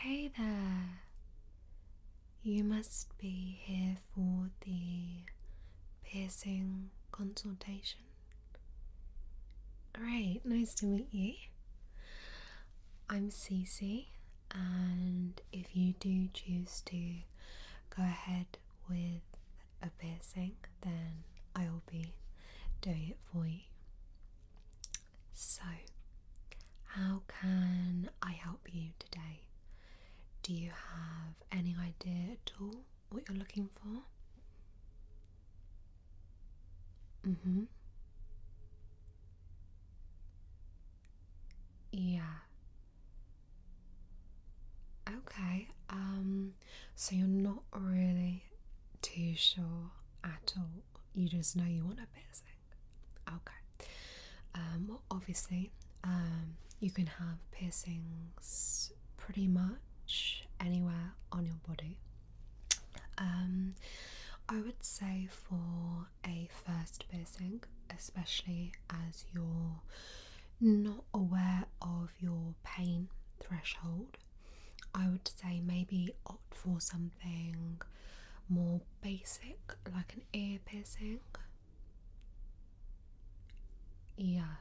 Hey there! You must be here for the piercing consultation. Great, nice to meet you. I'm CC, and if you do choose to go ahead with a piercing, then I will be doing it for you. So, how can I help you today? Do you have any idea at all what you're looking for? Mm hmm. Yeah. Okay, um so you're not really too sure at all. You just know you want a piercing. Okay. Um, well, obviously, um, you can have piercings pretty much anywhere on your body. Um, I would say for a first piercing, especially as you're not aware of your pain threshold, I would say maybe opt for something more basic, like an ear piercing. Yeah.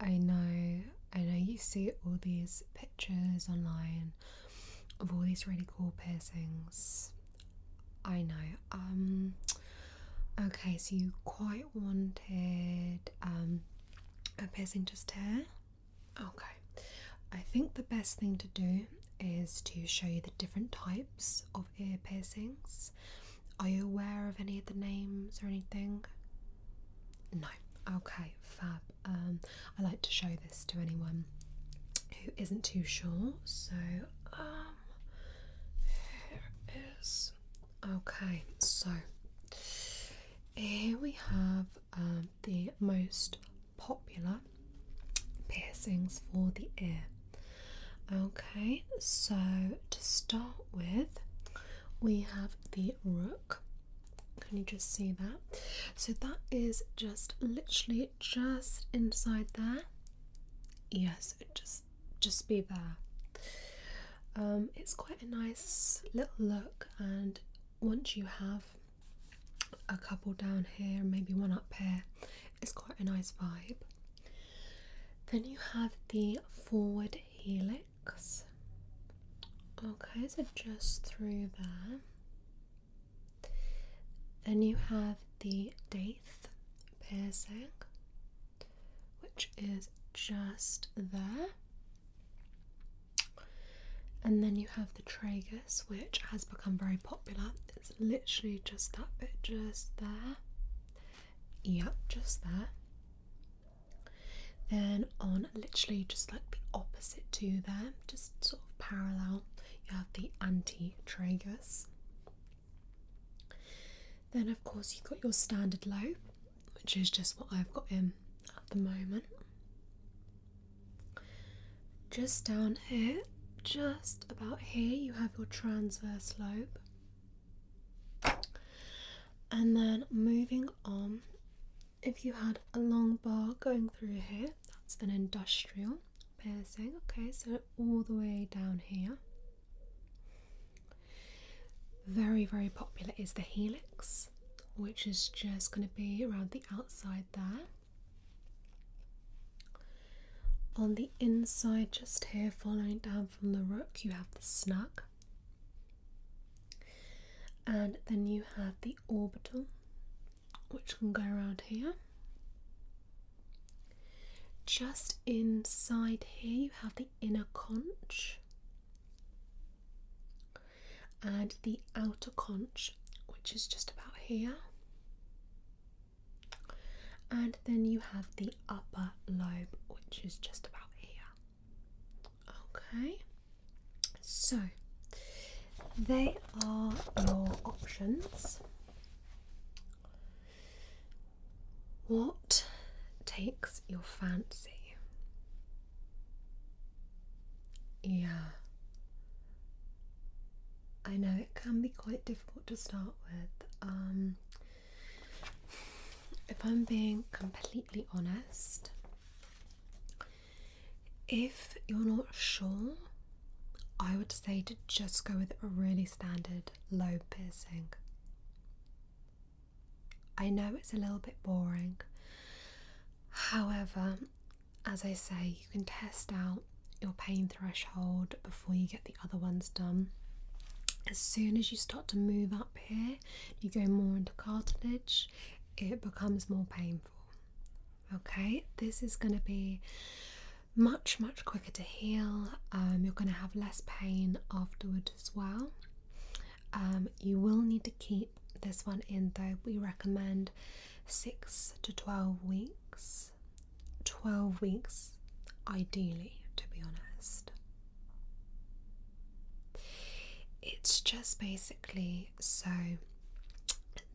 I know, I know you see all these pictures online of all these really cool piercings. I know. Um okay, so you quite wanted um, a passenger's chair. Okay, I think the best thing to do is to show you the different types of ear piercings. Are you aware of any of the names or anything? No. Okay, fab. Um, I like to show this to anyone who isn't too sure. So, um, here is Okay, so here we have um, the most popular piercings for the ear. Okay, so to start with, we have the rook. Can you just see that? So that is just literally just inside there. Yes, it just just be there. Um, it's quite a nice little look, and once you have a couple down here and maybe one up here, it's quite a nice vibe. Then you have the forward helix. Okay, so just through there. Then you have the daith piercing which is just there. And then you have the tragus, which has become very popular. It's literally just that bit, just there. Yep, just there. Then on literally just like the opposite to there, just sort of parallel, you have the anti tragus. Then, of course, you've got your standard low, which is just what I've got in at the moment. Just down here, just about here, you have your transverse lobe. And then moving on, if you had a long bar going through here, that's an industrial piercing. Okay, so all the way down here. Very, very popular is the helix, which is just going to be around the outside there. On the inside, just here, following down from the rook, you have the snug. And then you have the orbital, which can go around here. Just inside here, you have the inner conch and the outer conch, which is just about here. And then you have the upper lobe, which is just about here. Okay, so they are your options. What takes your fancy? Yeah. I know it can be quite difficult to start with. Um, if I'm being completely honest, if you're not sure, I would say to just go with a really standard standard low piercing. I know it's a little bit boring, however, as I say, you can test out your pain threshold before you get the other ones done. As soon as you start to move up here, you go more into cartilage, it becomes more painful. Okay, this is going to be much, much quicker to heal. Um, you're going to have less pain afterward as well. Um, you will need to keep this one in though. We recommend 6 to 12 weeks. 12 weeks, ideally, to be honest. It's just basically so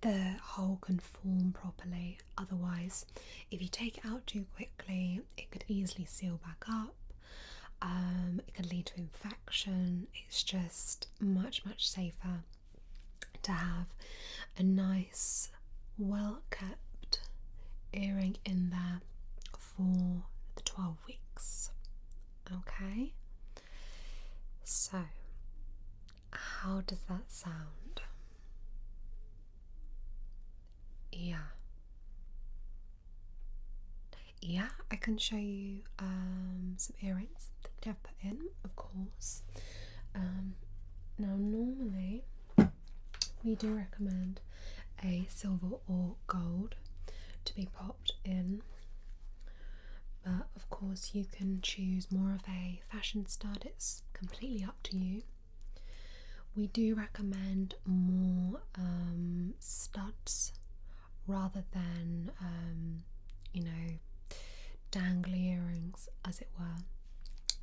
the hole can form properly otherwise, if you take it out too quickly, it could easily seal back up. Um, it can lead to infection. It's just much, much safer to have a nice, well kept earring in there for the 12 weeks. Okay, so how does that sound? Yeah. Yeah, I can show you um, some earrings that I've put in, of course. Um, now, normally we do recommend a silver or gold to be popped in, but of course, you can choose more of a fashion stud, it's completely up to you. We do recommend more um, studs rather than, um, you know, dangly earrings, as it were.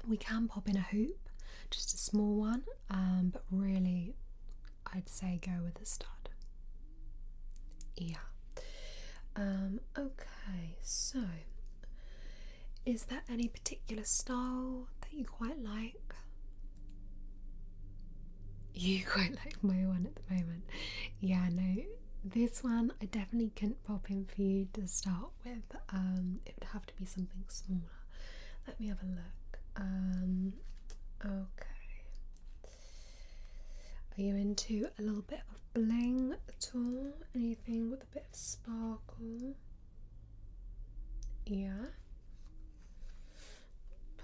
We can pop in a hoop, just a small one, um, but really I'd say go with a stud. Yeah. Um, okay, so is there any particular style that you quite like? You quite like my one at the moment. Yeah, no, this one I definitely couldn't pop in for you to start with. Um, it would have to be something smaller. Let me have a look. Um, okay. Are you into a little bit of bling at all? Anything a bit of sparkle. Yeah.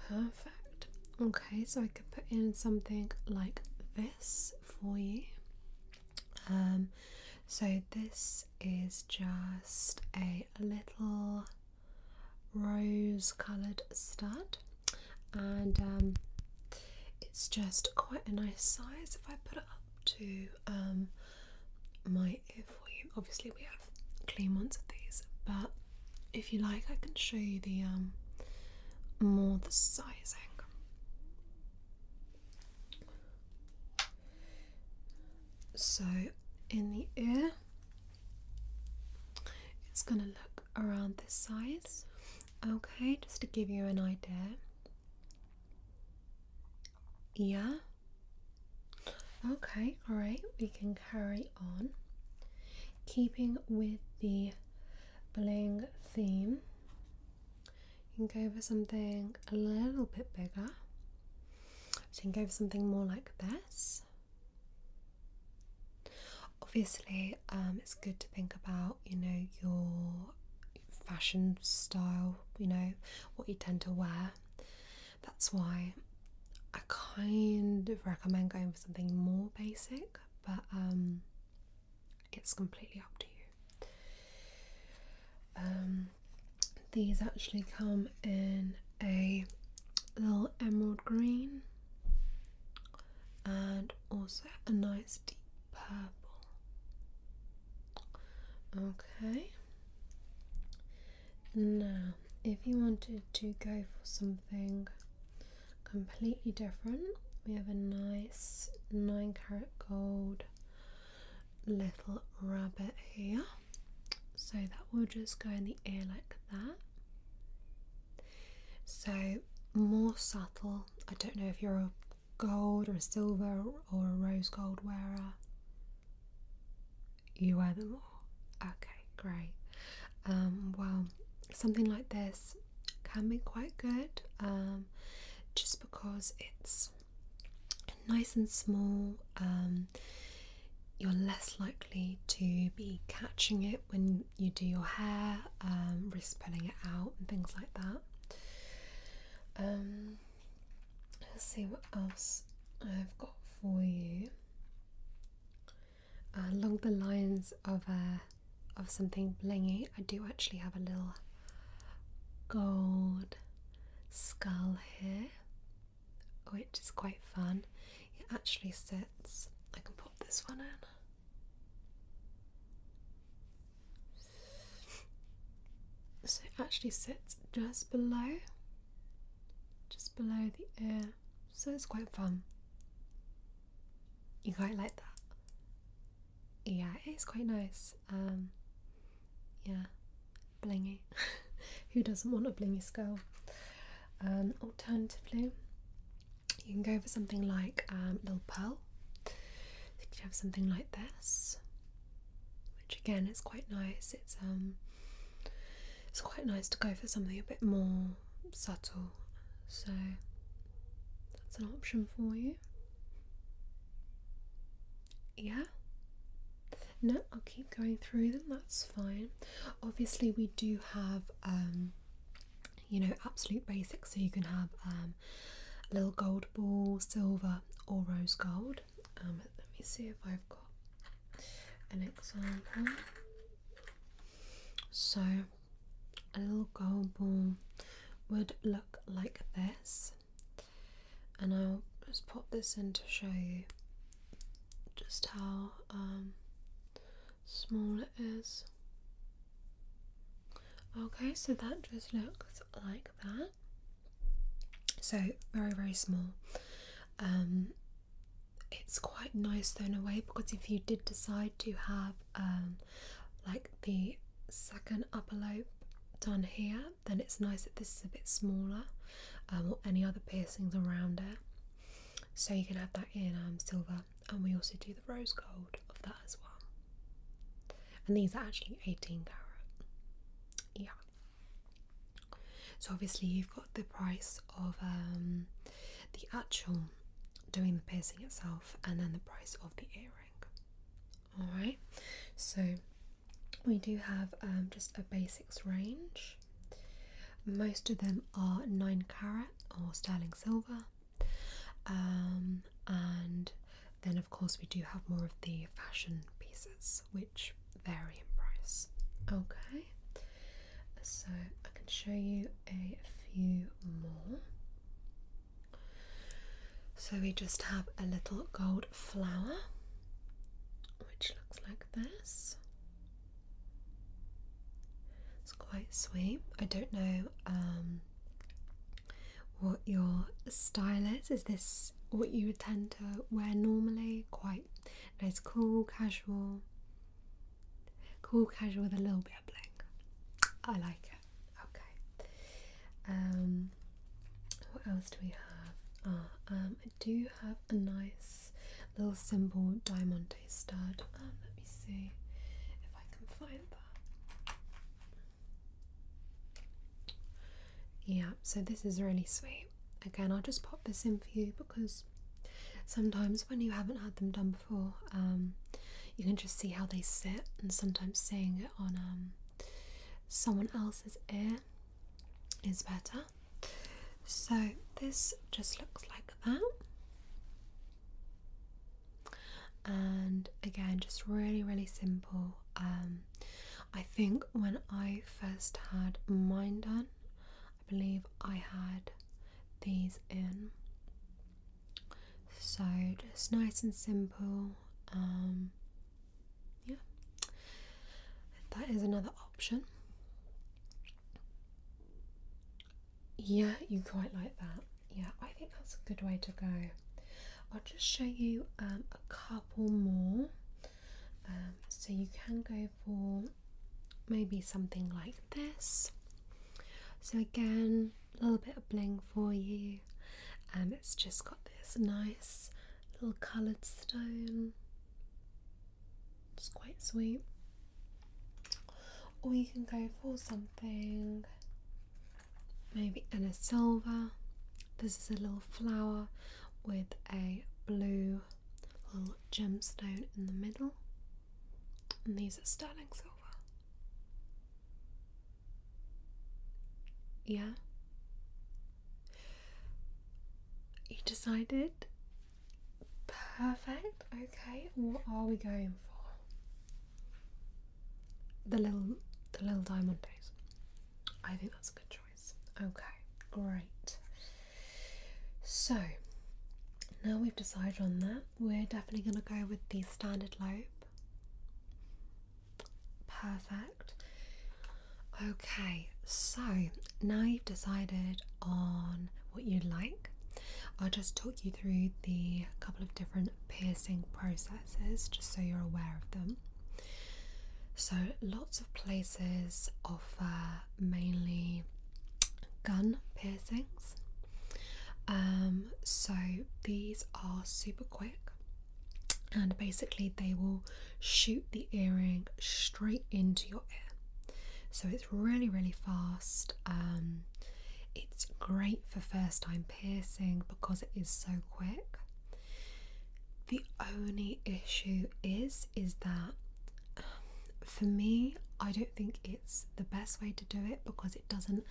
Perfect. Okay, so I can put in something like this for you. Um, so this is just a little rose coloured stud, and um, it's just quite a nice size if I put it up to um, my ear for Obviously, we have clean ones of these, but if you like, I can show you the um, more the sizing. So, in the ear, it's going to look around this size. Okay, just to give you an idea. Yeah. Okay, alright, we can carry on. Keeping with the bling theme, you can go for something a little bit bigger. you can go for something more like this. Obviously, um, it's good to think about you know, your fashion style, you know, what you tend to wear. That's why I kind of recommend going for something more basic, but um, it's completely up to you. Um, these actually come in a little emerald green and also a nice deep purple. Okay. Now, if you wanted to go for something completely different, we have a nice 9 carat gold little rabbit here. So that will just go in the ear like that. So more subtle. I don't know if you're a gold or silver or a rose gold wearer? You wear them all. Okay, great. Um, well, something like this can be quite good um, just because it's nice and small. Um, you're less likely to be catching it when you do your hair, um, risk pulling it out, and things like that. Um, let's see what else I've got for you. Uh, along the lines of uh, of something blingy, I do actually have a little gold skull here, which is quite fun. It actually sits. I can pop this one in. So it actually sits just below, just below the ear. So it's quite fun. You quite like that? Yeah, it's quite nice. Um, yeah, blingy. Who doesn't want a blingy skull? Um, alternatively, you can go for something like um, Little Pearl. You could have something like this, which again is quite nice. It's um, it's quite nice to go for something a bit more subtle. So that's an option for you. Yeah. No, I'll keep going through them. That's fine. Obviously, we do have um, you know, absolute basics. So you can have um, um, a little gold ball, silver, or rose gold. Um, let me see if I've got an example. So, a little gold ball would look like this, and I'll just pop this in to show you just how um, small it is. Okay, so that just looks like that. So very, very small. Um, it's quite nice though in a way because if you did decide to have um, like the second upper lobe done here, then it's nice that this is a bit smaller um, or any other piercings around it. So you can have that in um, silver and we also do the rose gold of that as well. And these are actually 18 carat. Yeah. So obviously you've got the price of um, the actual doing the piercing itself and then the price of the earring. Alright, so we do have um, just a basics range. Most of them are 9 carat or sterling silver. Um, and then, of course, we do have more of the fashion pieces which vary in price. Okay, so I can show you a few more. So we just have a little gold flower which looks like this. It's quite sweet. I don't know um, what your style is. Is this what you would tend to wear normally? Quite nice, cool, casual. Cool, casual with a little bit of bling. I like it. Okay. Um, what else do we have? Ah, um, I do have a nice little simple diamond day stud. Um, let me see if I can find that. Yeah, so this is really sweet. Again, I'll just pop this in for you because sometimes when you haven't had them done before, um, you can just see how they sit, and sometimes seeing it on um, someone else's ear is better. So, this just looks like that and again just really really simple um, I think when I first had mine done I believe I had these in so just nice and simple um, yeah that is another option yeah, you quite like that. Yeah, I think that's a good way to go. I'll just show you um, a couple more. Um, so you can go for maybe something like this. So again, a little bit of bling for you. and um, it's just got this nice little coloured stone. It's quite sweet. Or you can go for something maybe in a silver. This is a little flower with a blue little gemstone in the middle. And these are sterling silver. Yeah? You decided? Perfect. Okay, what are we going for? The little the little diamondos. I think that's a good choice. Okay, great. So now we've decided on that, we're definitely gonna go with the standard lobe. Perfect. Okay, so now you've decided on what you would like. I will just talk you through the couple of different piercing processes just so you're aware of them. So, lots of places offer mainly gun piercings. Um, so, these are super quick and basically they will shoot the earring straight into your ear. So it's really, really fast. Um, it's great for first time piercing because it is so quick. The only issue is, is that um, for me, I don't think it's the best way to do it because it doesn't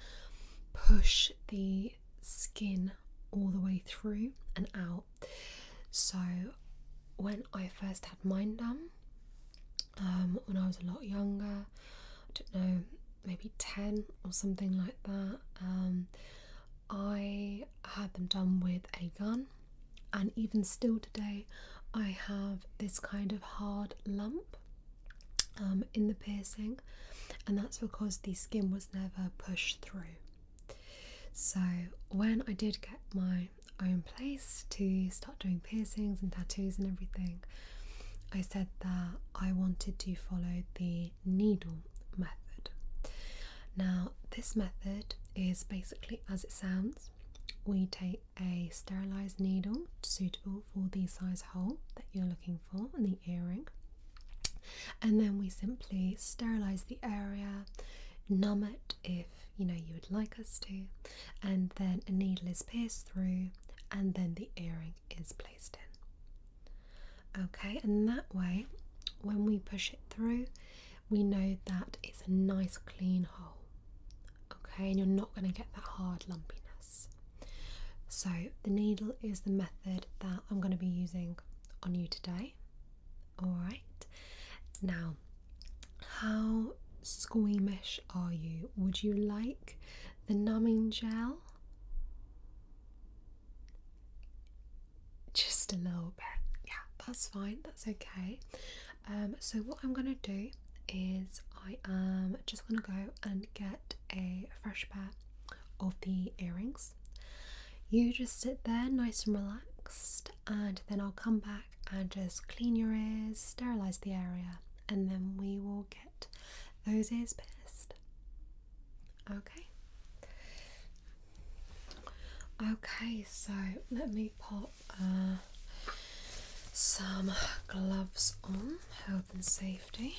push the skin all the way through and out. So when I first had mine done, um, when I was a lot younger, I don't know, maybe 10 or something like that, um, I had them done with a gun, and even still today, I have this kind of hard lump um, in the piercing, and that's because the skin was never pushed through. So, when I did get my own place to start doing piercings and tattoos and everything, I said that I wanted to follow the needle method. Now, this method is basically as it sounds we take a sterilized needle suitable for the size hole that you're looking for in the earring, and then we simply sterilize the area, numb it if you know you would like us to, and then a needle is pierced through, and then the earring is placed in. Okay, and that way, when we push it through, we know that it's a nice clean hole. Okay, and you're not going to get that hard lumpiness. So, the needle is the method that I'm going to be using on you today. Alright, now how squeamish are you? Would you like the numbing gel? Just a little bit, yeah, that's fine, that's okay. Um, so, what I'm gonna do is I am just gonna go and get a fresh pair of the earrings. You just sit there nice and relaxed, and then I'll come back back and uh, just clean your ears, sterilize the area, and then we will get those ears pierced. Okay. Okay, so let me pop uh, some gloves on, health and safety.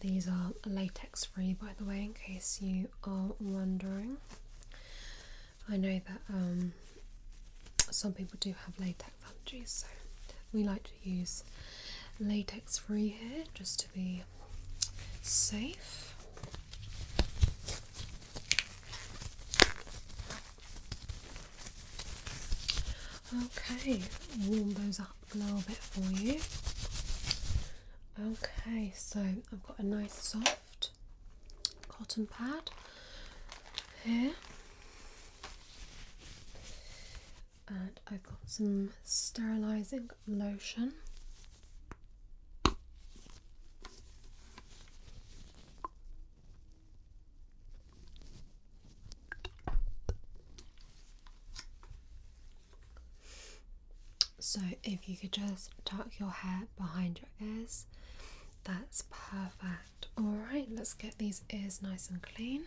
These are latex free, by the way, in case you are wondering. I know that um, some people do have latex allergies, so we like to use latex free here just to be safe. Okay, warm those up a little bit for you. Okay, so I've got a nice soft cotton pad here, and I've got some sterilizing lotion. So, if you could just tuck your hair behind your ears, that's perfect. Alright, let's get these ears nice and clean.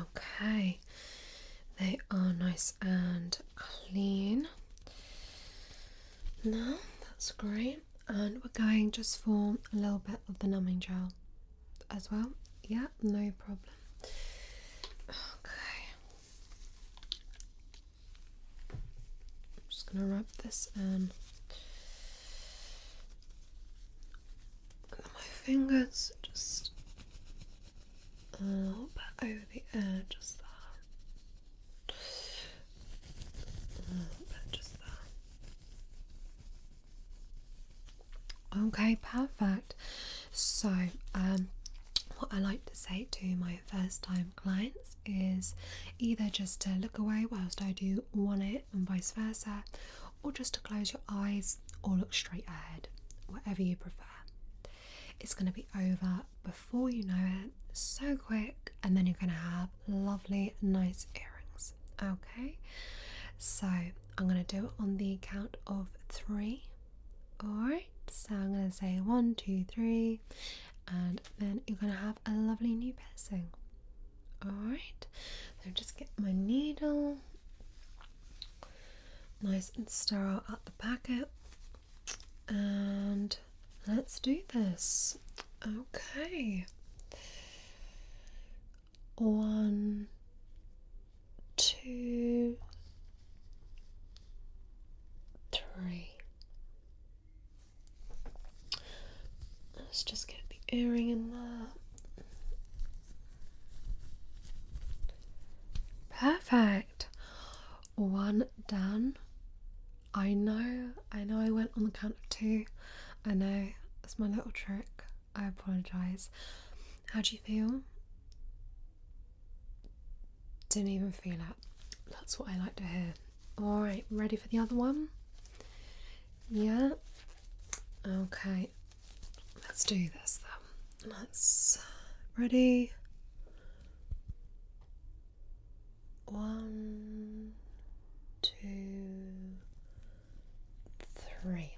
Okay, they are nice and clean now. That's great, and we're going just for a little bit of the numbing gel as well. Yeah, no problem. Okay, I'm just gonna rub this in. Um, my fingers just a little bit over the air, just there. just there. Okay, perfect. So, um, what I like to say to my first time clients is either just to look away whilst I do one it and vice versa, or just to close your eyes or look straight ahead, whatever you prefer. It's going to be over before you know it, so quick, and then you're going to have lovely, nice earrings. Okay, so I'm going to do it on the count of three. Alright, so I'm going to say one, two, three, and then you're going to have a lovely new piercing. Alright, so just get my needle nice and sterile at the packet and let's do this. Okay. One, two, three. Let's just get the earring in there. Perfect. One done. I know, I know I went on the count of two. I know, It's my little trick. I apologise. How do you feel? Didn't even feel it. That's what I like to hear. Alright, ready for the other one? Yeah, Okay, let's do this Though, Let's ready. One, two, three.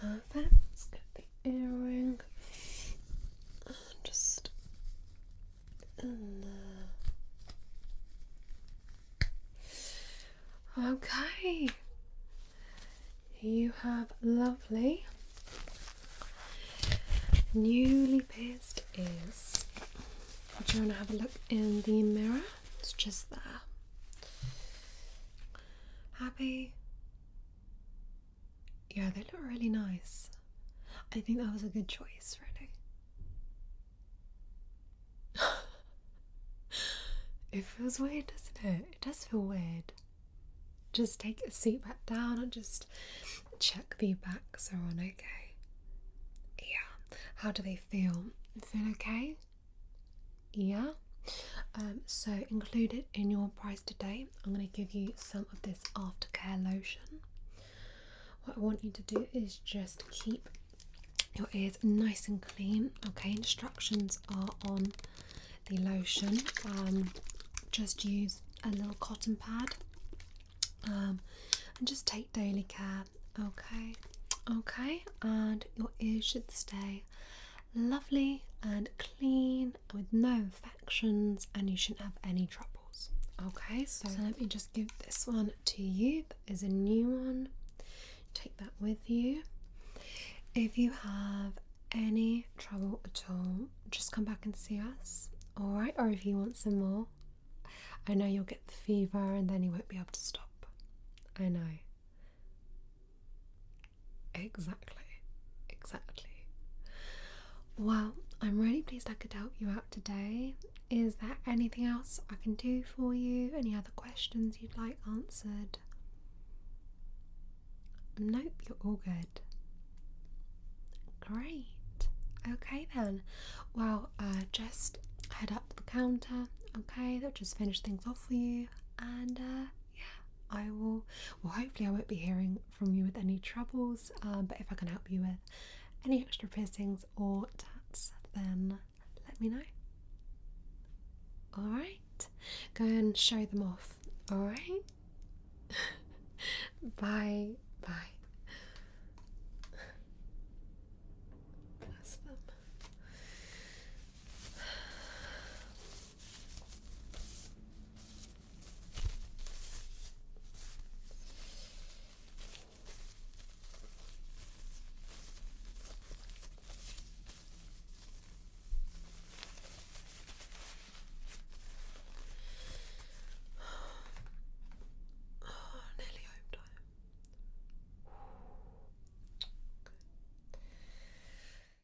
Perfect the earring just in there. Okay, you have lovely newly pierced ears. Would you want to have a look in the mirror? It's just there. Happy? Yeah, they look really nice. I think that was a good choice, really. it feels weird, doesn't it? It does feel weird. Just take a seat back down and just check the backs are on okay. Yeah. How do they feel? Feel okay? Yeah. Um, so include it in your price today I'm going to give you some of this aftercare lotion. What I want you to do is just keep your ears nice and clean. Okay, instructions are on the lotion. Um, just use a little cotton pad um, and just take daily care. Okay, okay, and your ears should stay lovely and clean with no factions and you shouldn't have any troubles. Okay, so, so let me just give this one to you. That is a new one. Take that with you. If you have any trouble at all, just come back and see us. Alright, or if you want some more, I know you'll get the fever and then you won't be able to stop. I know. Exactly. Exactly. Well, I'm really pleased I could help you out today. Is there anything else I can do for you? Any other questions you'd like answered? Nope, you're all good. Great. Okay then. Well, uh, just head up the counter. Okay, they'll just finish things off for you, and uh, yeah, I will. Well, hopefully, I won't be hearing from you with any troubles. Uh, but if I can help you with any extra piercings or tats, then let me know. All right, go and show them off. All right, bye bye. Bless them. Oh, nearly home time.